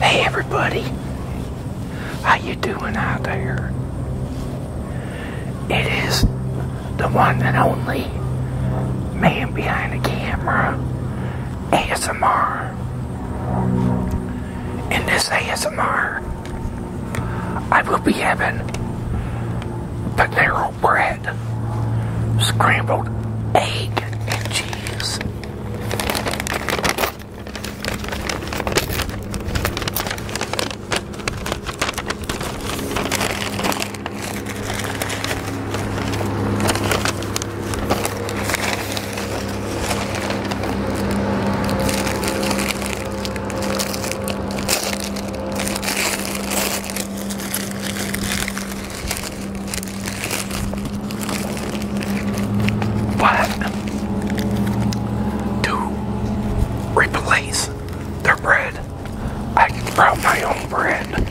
Hey everybody, how you doing out there? It is the one and only man behind the camera, ASMR. In this ASMR, I will be having Panero bread, scrambled egg, and cheese. But to replace their bread, I can grow my own bread.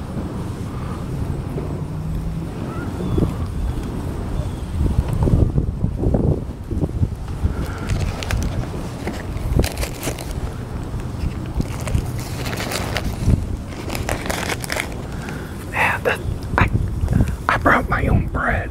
Yeah, that, I, I brought my own bread.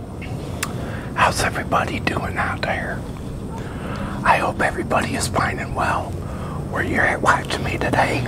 How's everybody doing out there? I hope everybody is fine and well where you're at watching me today.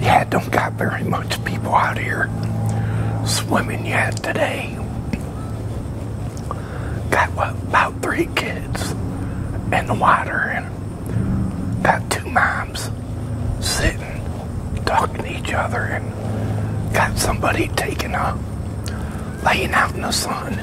Yeah, don't got very much people out here swimming yet today. Got what, about three kids in the water and got two moms sitting talking to each other and got somebody taking a laying out in the sun.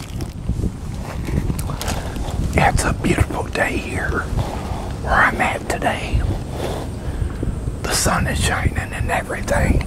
It's a beautiful day here where I'm at today. The sun is shining and everything.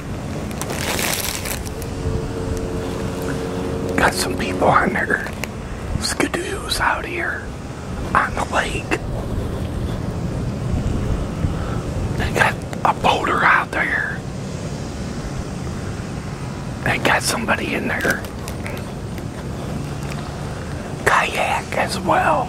Got some people on there. skidoos out here on the lake. They got a boulder out there. They got somebody in there. Kayak as well.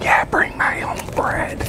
Yeah, bring my own bread.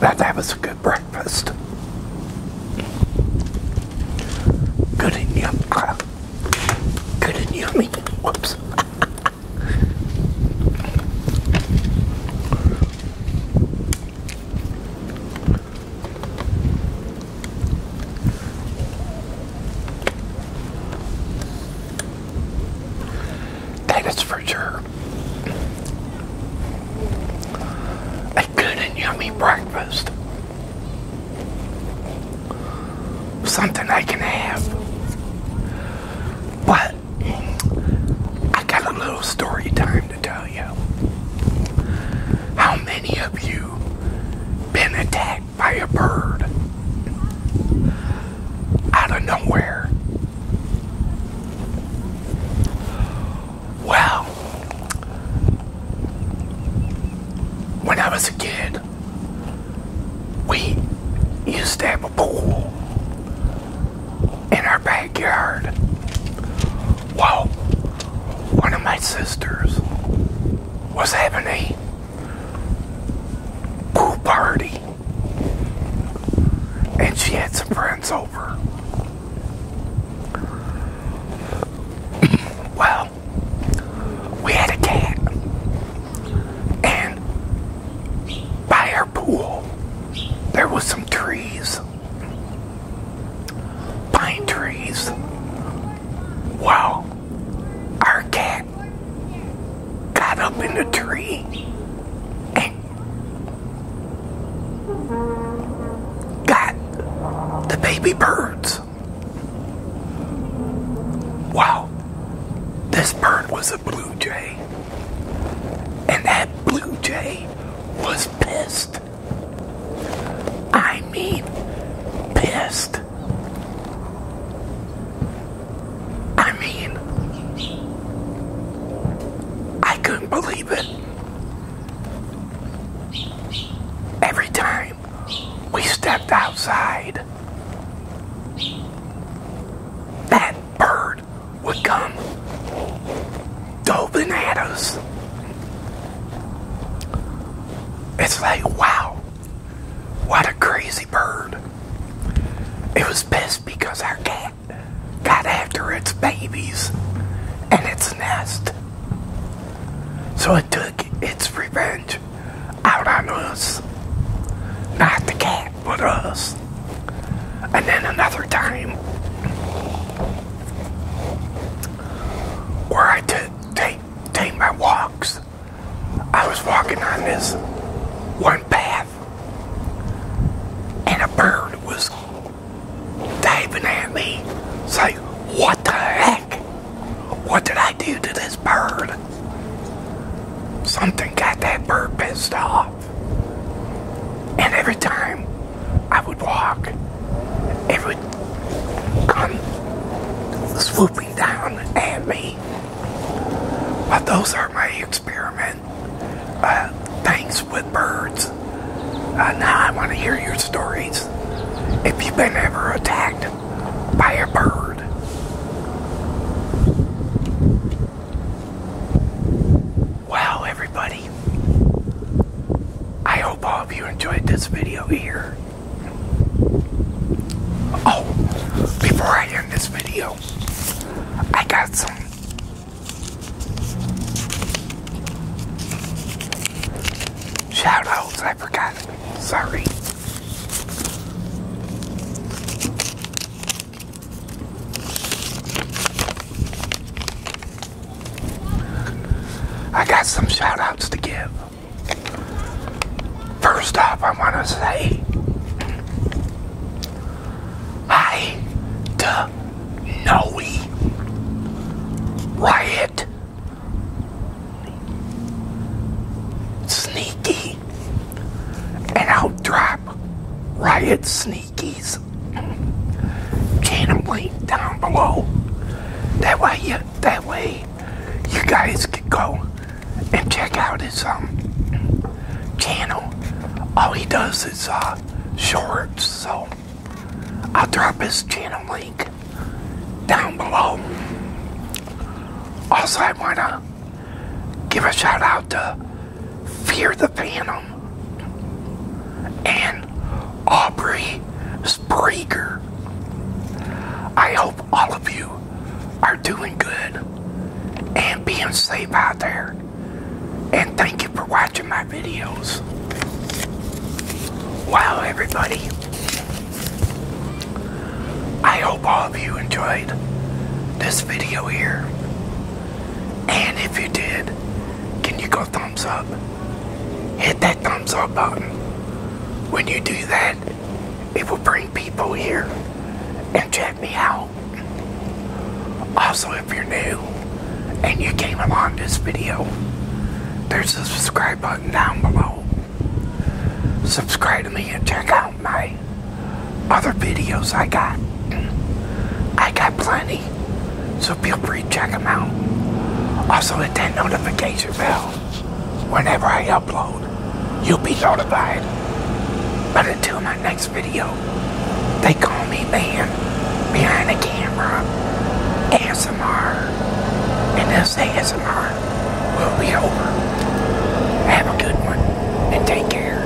That, that was a good breakfast. Good and yum. good and yummy. Whoops. That is for sure. A good and yummy breakfast. Something I can have. But I got a little story time to tell you. How many of you been attacked by a bird out of nowhere. Well, when I was a kid, we used to have a pool in our backyard. Well, one of my sisters was having a pool party and she had some friends over. well, we had a cat and by our pool there was some trees pine trees. Wow, our cat got up in the tree and got the baby birds. Wow, this bird was a blue jay, and that blue jay was pissed. I mean, pissed. I mean, I couldn't believe it. Every time we stepped outside, that bird would come go bananas. It's like, wow, what a crazy bird. It was pissed because our cat got after its babies and its nest. So it took its revenge out on us. Not the cat, but us. And then another time, where I took take take my walks. I was walking on this one path, and a bird was diving at me. It's like, what the heck? What did I do to this bird? Something got that bird pissed off. And every time I would walk. It would come swooping down at me. But those are my experiment uh, Thanks, with birds. Uh, now I want to hear your stories. If you've been ever attacked by a bird. Well, everybody. I hope all of you enjoyed this video here. Oh, before I end this video, I got some shout outs. I forgot. Sorry. I got some shout outs to give. First off, I want to say hi to Noe, Riot, Sneaky, and Outdrop, Riot Sneaky. Channel link down below. That way, you, that way, you guys can go and check out his um, channel. All he does is uh shorts, so I'll drop his channel link down below. Also, I wanna give a shout out to Fear the Phantom, and Aubrey Spreaker. I hope all of you are doing good and being safe out there. And thank you for watching my videos. Wow, everybody. I hope all of you enjoyed this video here. And if you did, can you go thumbs up? Hit that thumbs up button. When you do that, it will bring people here and check me out. Also, if you're new and you came along this video, there's a subscribe button down below. Subscribe to me and check out my other videos I got. I got plenty. So feel free to check them out. Also hit that notification bell. Whenever I upload, you'll be notified. But until my next video, they call me man behind the camera. ASMR. And this ASMR will be over. Have a good one and take care.